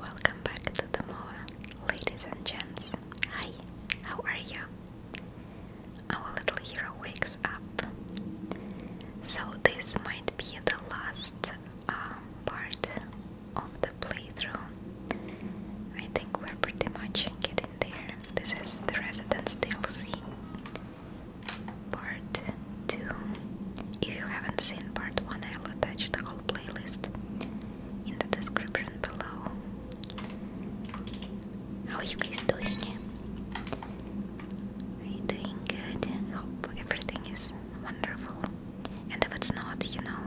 Welcome back to the MOA, ladies and gents. Hi, how are you? Our little hero wakes up. So, this might be the last um, part of the playthrough. I think we're pretty much in getting there. This is the Residence DLC part 2. If you haven't seen part 1, I'll attach the whole playlist in the description below. How are you guys doing? Are you doing good? Hope everything is wonderful. And if it's not, you know,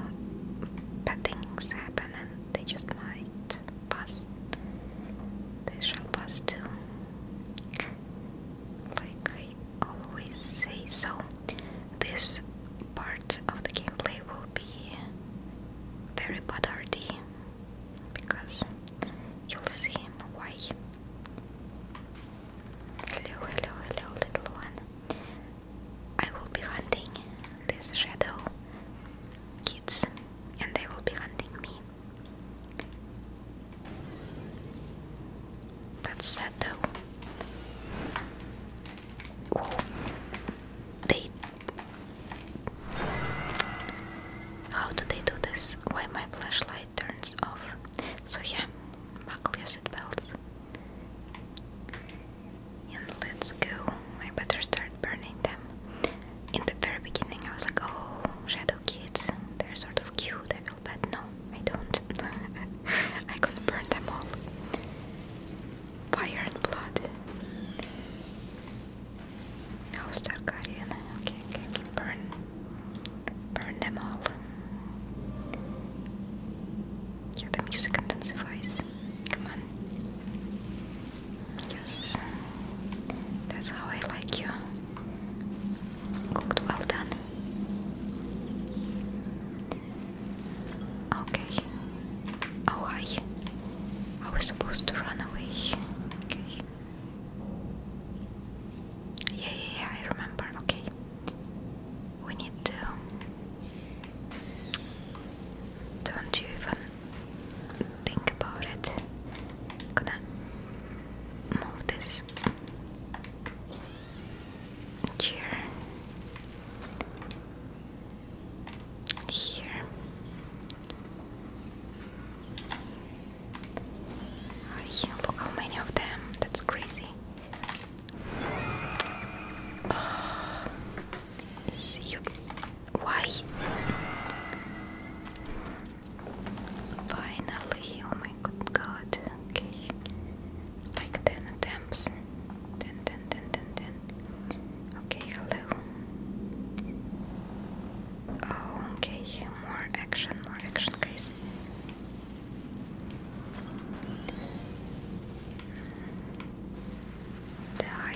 bad things happen and they just might pass. They shall pass too like I always say. So, this part of the gameplay will be very buttardy because you'll see why. Hello, hello, hello, little one. I will be hunting this shadow kids, and they will be hunting me. That's sad though. They. How do they do this? Why my flashlight turns off? So yeah, buckle your seatbelts. And let's go. I better start burning them. In the very beginning, I was like, oh, shadow kids, they're sort of cute candle, but no, I don't. I couldn't burn them all. Fire and blood. House Targaryen. Okay, okay, okay. Burn. Burn them all. Yeah, the music intensifies. Come on. Yes. That's how I like you. Cooked well done. Okay. Oh hi. I was supposed to run away. Okay. Yeah, yeah, yeah, I remember. Okay. We need to. Don't you even think about it. gonna move this here, here. Oh, look how many of them. That's crazy. see you. Why? Finally, oh my good god. Okay like 10 attempts 10, okay, hello oh, okay, more action, more action guys die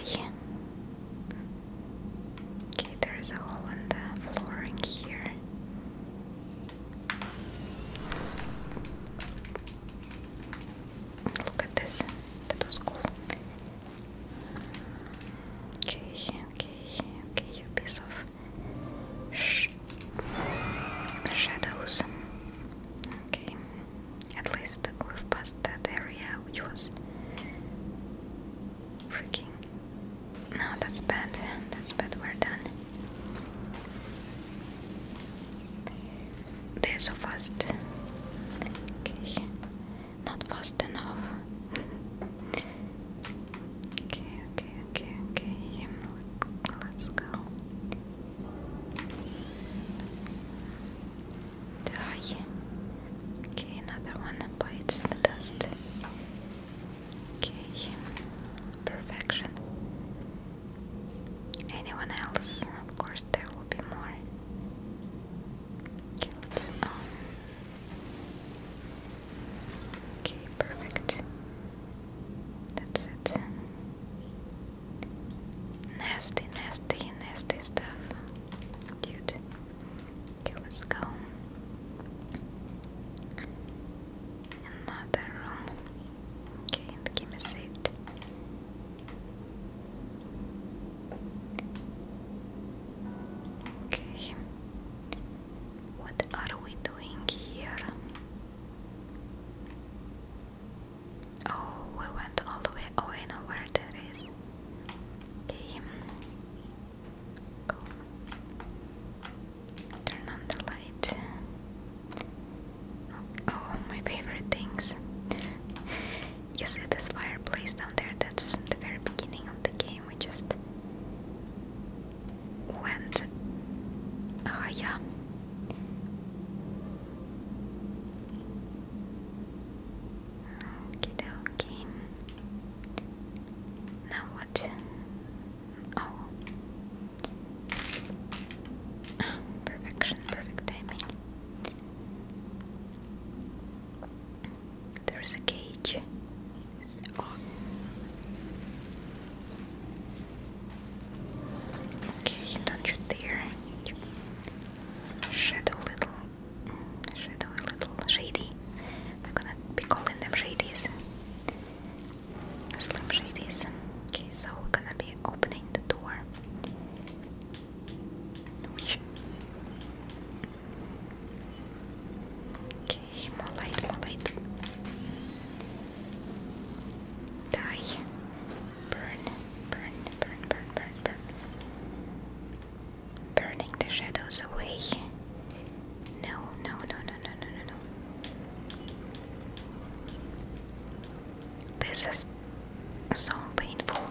okay, there's a hole in the flooring here Look at this. That was cool. Okay, okay, okay, a piece of sh shadows. Okay, at least we've passed that area, which was freaking no, that's bad. That's bad. We're done. They're so fast. Okay. Not fast enough. okay, okay, okay, okay. Let's go. Die. Okay, another one bites the dust. Okay, perfection. Anyone else? Of course, there will be more Okay, um, perfect. That's it. Nasty, nasty, nasty stuff. Dude. Okay, let's go another room. Okay, and game is saved. Okay, what are we doing here? Oh, we went all the way. Oh, I know where that is. Okay. Turn on the light. Oh, my favorite things. Yes, it's this fireplace down there? That's the very beginning of the game. We just went. Oh, yeah. Okay, okay. Now what? Oh. Perfection, perfect timing. There's a cage. It's Okay, don't you dare. You shadow little, shadow a little shady. I'm gonna be calling them shadies. Slim Okay, so we're gonna be opening the door. Okay, more light, Die. Burn, burn, burn, burn, burn, burn. Burning the shadows away. No, no, no, no, no, no, no, no. This is so painful.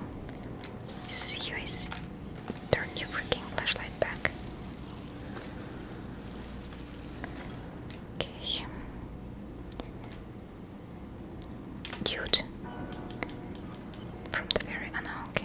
Seriously. Turn your freaking flashlight back. Okay. Dude. From the very... Oh no, okay.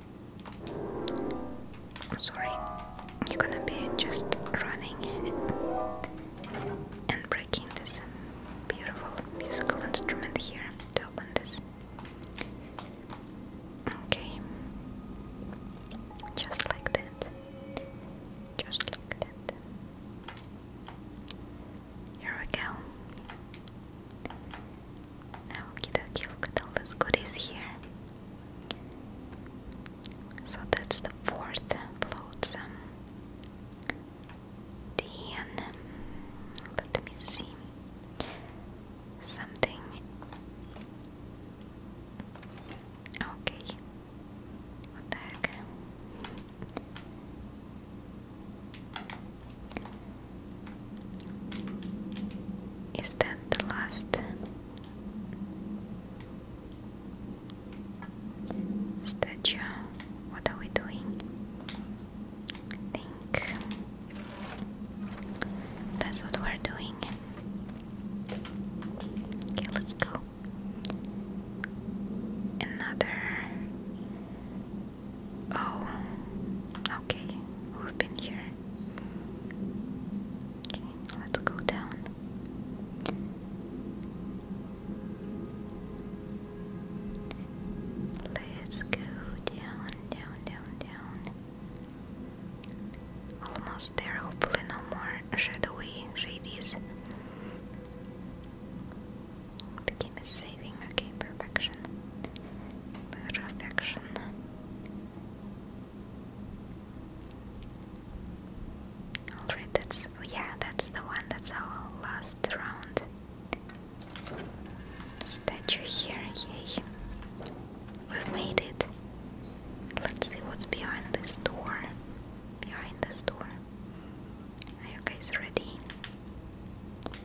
Sorry, you're gonna be just running and breaking this beautiful musical instrument here to open this. Okay, just like that, just like that. Here we go. Now, okie dokie, look at all those goodies here. So that's the fourth flotsam. Then, let me see something. Okay, what the heck? Is that the last statue? What are we doing? think that's what we're doing. Okay, let's go. Another Oh, okay, we've been here. Okay, let's go down. Let's go down, down, down, down. Almost there, hopefully, no more shadowy shadies. The game is saving, okay, perfection. Perfection. Alright, that's yeah, that's the one, that's our last round. Statue here, yay. We've made it. Let's see what's behind this door. Behind this door. Are you guys ready?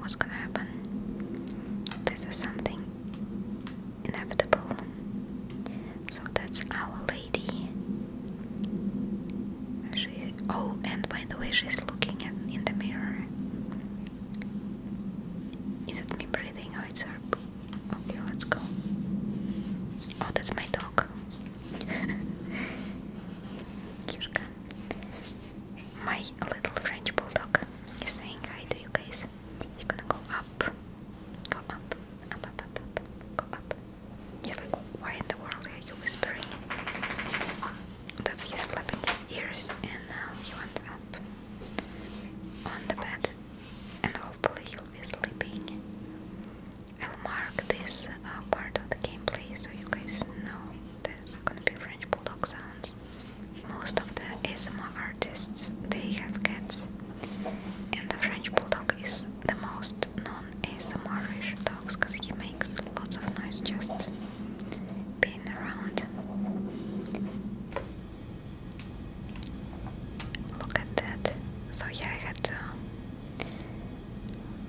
what's gonna happen. This is something inevitable. So that's Our Lady. She, oh, and by the way, she's looking at, in the mirror. Is it me breathing? Oh, it's her. Okay, let's go. Oh, that's my dog. Kirka. my little French bulldog is saying hi to you guys. You're gonna go up, go up, up, up, up, up, go up. Yeah, like why in the world are you whispering? That he's flapping his ears, and now uh, he went up on the bed, and hopefully he'll be sleeping. I'll mark this uh, part of the gameplay so you guys know there's gonna be French bulldog sounds. Most of the ASMR artists they have cats, and the French bulldog is the most known asmr ish dogs because he makes lots of noise just being around. Look at that. So I had to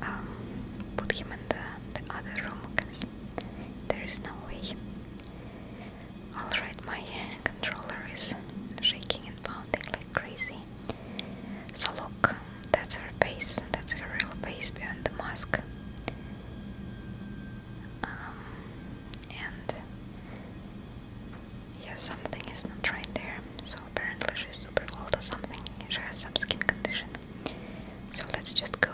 um, put him in the other room because there is no way Alright, my uh, controller is shaking and pounding like crazy. So look, that's her face, that's her real face behind the mask. Um, and yeah, something is not right there. So apparently she's super old or something. She has some skin condition. So let's just go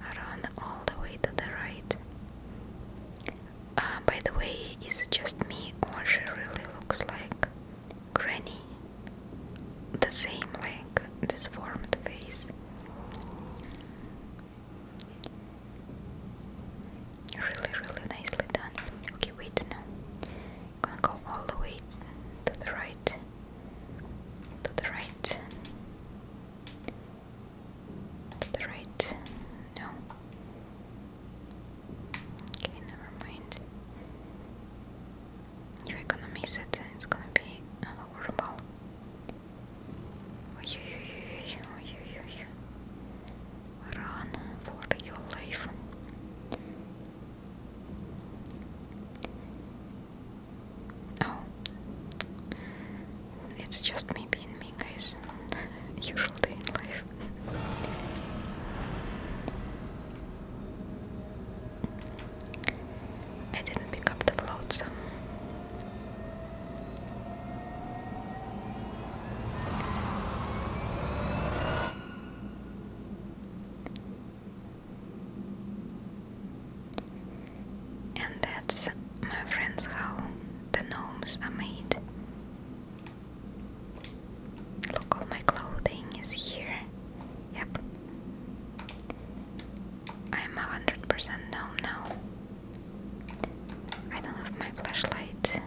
run all the way to the right. Uh, by the way, is just me or she really looks like Granny? The same, like disformed face. Really, really nicely done. Okay, wait, no. gonna go all the way to the right. To the right. The right? No. Okay, never mind. If I'm gonna miss it, then it's gonna be uh, horrible. Run for your life. Oh, it's just me being me, guys. Usual in life. I didn't pick up the floats. And that's, my friends, how the gnomes are made. Look, all my clothing is here. Yep. I'm a hundred percent gnome now. I don't have my flashlight.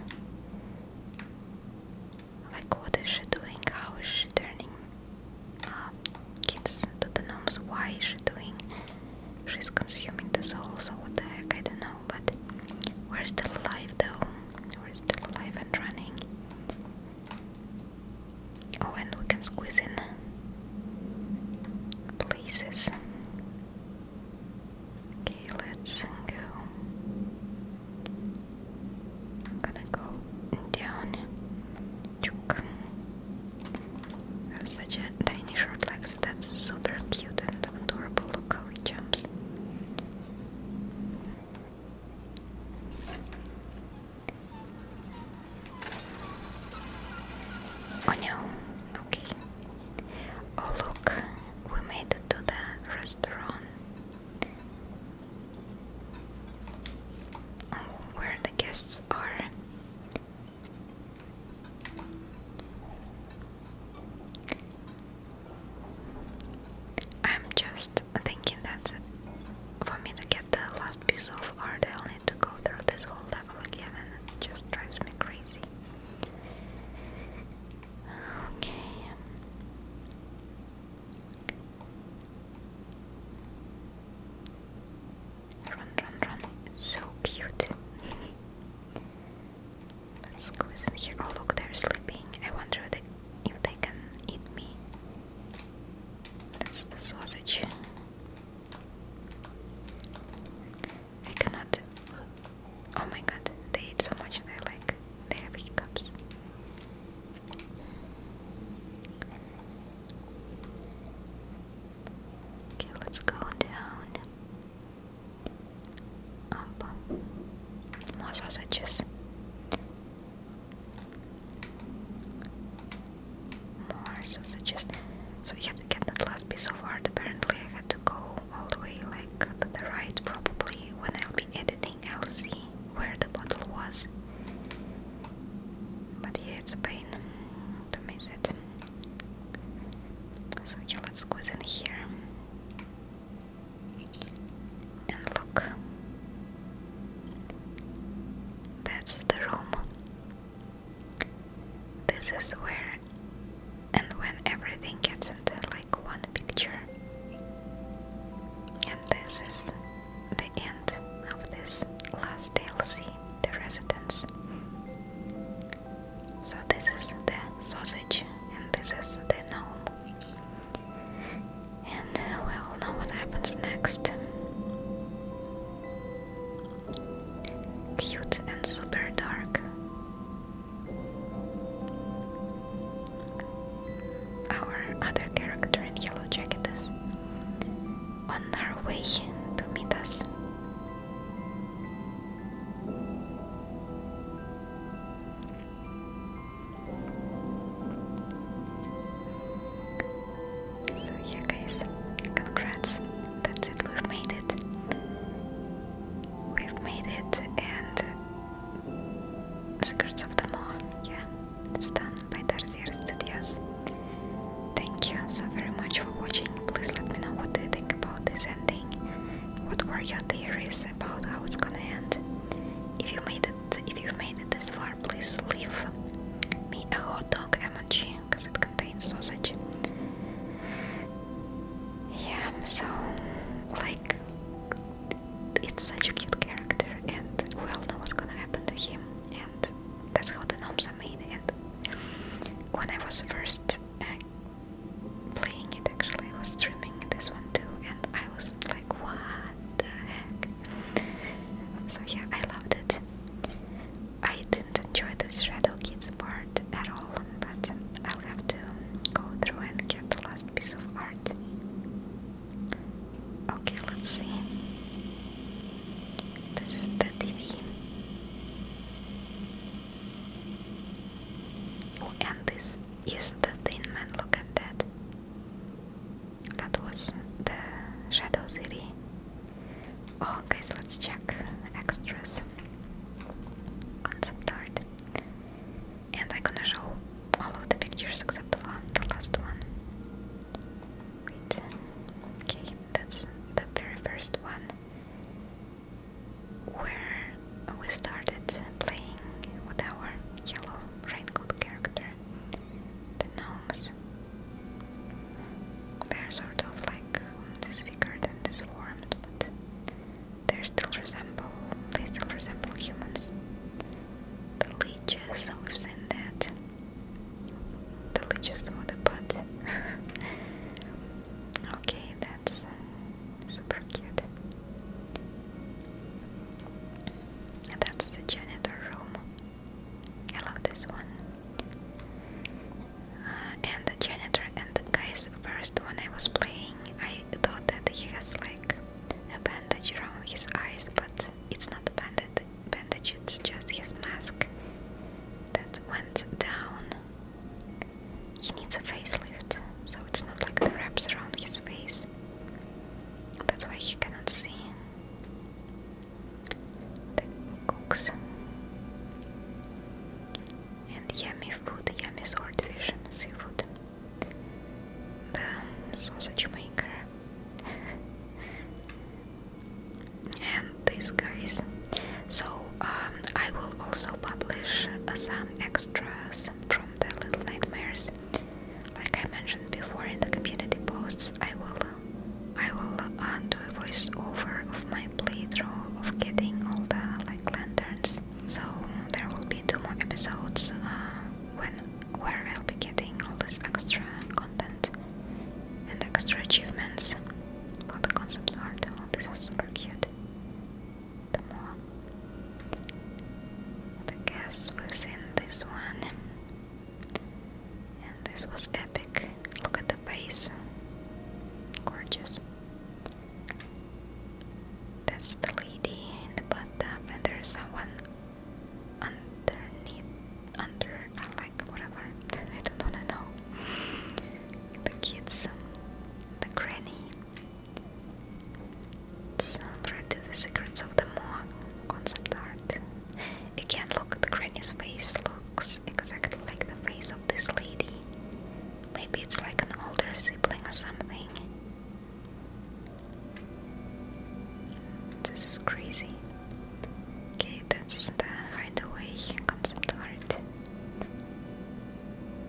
Like, what is she doing? How is she turning kids to the gnomes. Why is she doing? She's consuming the soul, so what the heck? I don't know. But we're still alive, though. We're still alive and running. Oh, and we can squeeze in places. Okay, let's go. I'm gonna go down have such a tiny short legs. That's super cute and adorable. Look how it jumps. Oh no, okay. Oh look, we made it to the restaurant. Oh, where the guests are. I'm just thinking that for me to get the last piece of art, I'll need to go through this whole level again, and it just drives me crazy. Okay. Run, run, run. So cute. Let's go in here. Oh, look, they're sleeping. I wonder if they, can eat me. That's the sausage. I cannot. Oh my god, they eat so much and like. They have hiccups. Okay, let's go down. Um, more sausages. More sausages. So you had to get that last piece of art. Apparently, I had to go all the way like to the right. Probably when I'll be editing, I'll see where the bottle was. But yeah, it's a pain to miss it. So yeah, let's squeeze in here. And look. That's the room. This is where and when everything gets into like one picture. And this is the end of this last See the residents. So this is the sausage and this is the gnome. And uh, we all know what happens next. Cute and super dark. Our other character in yellow jacket is on our way to meet us. So yeah guys, congrats, that's it, we've made it. We've made it and Secrets of the Mall, yeah. It's done by Tarsier Studios. Thank you so very much for watching. Please let me know what do you think about this ending. What were your theories about how it's gonna end? If you made it, if you made it this far, please leave me a hot dog emoji because it contains sausage. Yeah, so like it's such a cute character, and we all know what's gonna happen to him and that's how the gnomes are made. And when I was first uh, playing it, actually, I was streaming this one too, and I was like, what the heck? So yeah, I loved it. I didn't enjoy the Shadow Kids part at all, but I'll have to go through and get the last piece of art. Okay, let's see. This is the TV. Oh, and this is the Thin Man. Look at that. That was the Shadow City. Oh, guys, let's check extras. Concept art. And I'm gonna show all of the pictures except one, the last one. Okay, that's the very first one where we started playing with our yellow raincoat character, the gnomes. They're sort of like disfigured and disformed, but they still resemble they still resemble humans. The leeches, we've seen that. Deliciously водопад. okay, that's uh, super cute. That's the janitor room. I love this one. Uh, and the janitor and the guys first when I was playing, I thought that he has like a bandage around his eyes, but it's not a bandage bandage, it's just his mask that went down. He needs a facelift, so it's not like the wraps around his face. That's why he cannot see the cooks. And yummy food, yummy swordfish, seafood. The sausage maker and these guys. So um, I will also publish uh, some extras from the Little Nightmares. Like I mentioned before in the community posts, I will I will uh, do a voiceover of my playthrough of getting all the like lanterns. So there will be two more episodes uh, when where I'll be getting all this extra content and extra achievements for the concept art. Oh, this is super cute. The more. I guess was in this one. And this was epic. Look at the face, Gorgeous. That's the lady in the bathtub, and there's someone underneath, under, uh, like whatever. I don't wanna know. The kids, um, the granny. It's already the secrets of the Moog concept art. Again, look, at the granny's face looks exactly like the face of this lady. Maybe it's like an older sibling or something. This is crazy. Okay, that's the hideaway concept art.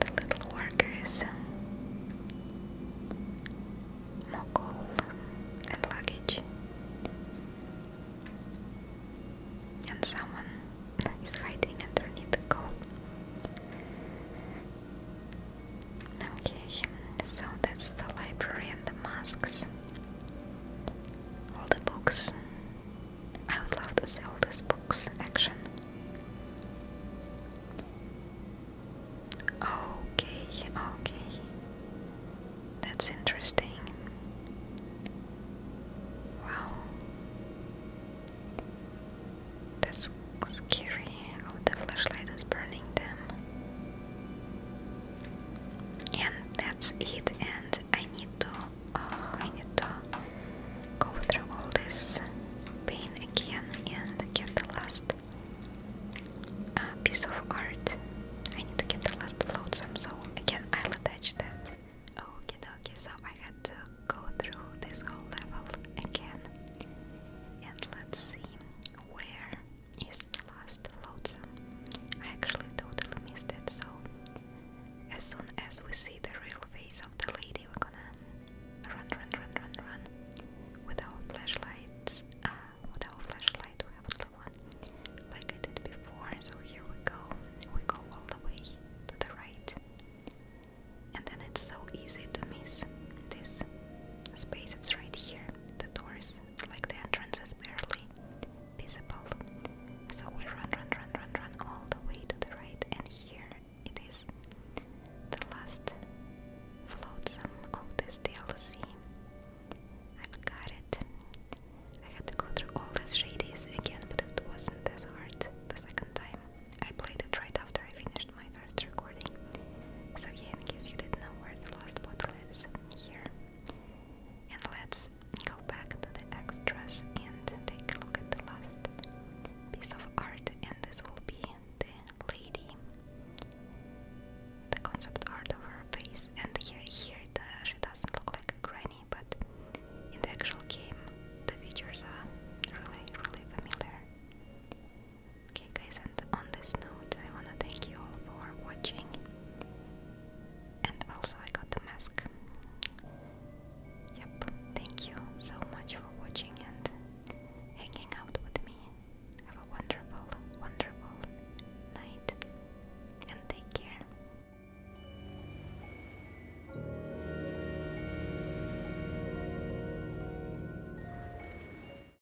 The little worker is um, and luggage. And someone is hiding underneath the coat. Okay, so that's the library and the masks. All the books. I would love to sell these books action. Okay, okay. That's interesting. Wow. That's scary. Oh, the flashlight is burning them and that's it and I need to oh, I need to go through all this pain again and get the last uh, piece of art I need to get the last flotsam so again I'll attach that okay okay so I had to go through this whole level again and let's see where is the last Lotsa. I actually totally missed it, so as soon as we see the real face of the lady, we're gonna run, run, run, run, run with our flashlights. Uh, with our flashlight, we have the one like I did before. So here we go. We go all the way to the right, and then it's so easy to miss this space. It's right here. The door is like the entrance is barely visible. So we run, run, run, run, run all the way to the right, and here it is the last floatsome of this DLC. i got it. I had to go through all the shadies again, but it wasn't as hard the second time. I played it right after I finished my first recording. So yeah, in case you didn't know where the last bot necklace here. And let's go back to the extras and take a look at the last piece of art, and this will be the lady, the concept art of her face. And here, here the, she doesn't look like a granny, but in the actual game, the features are really, really familiar. Okay, guys, and on this note, I wanna thank you all for watching. And also, I got the mask. Yep, thank you so much for watching and hanging out with me. Have a wonderful, wonderful night and take care.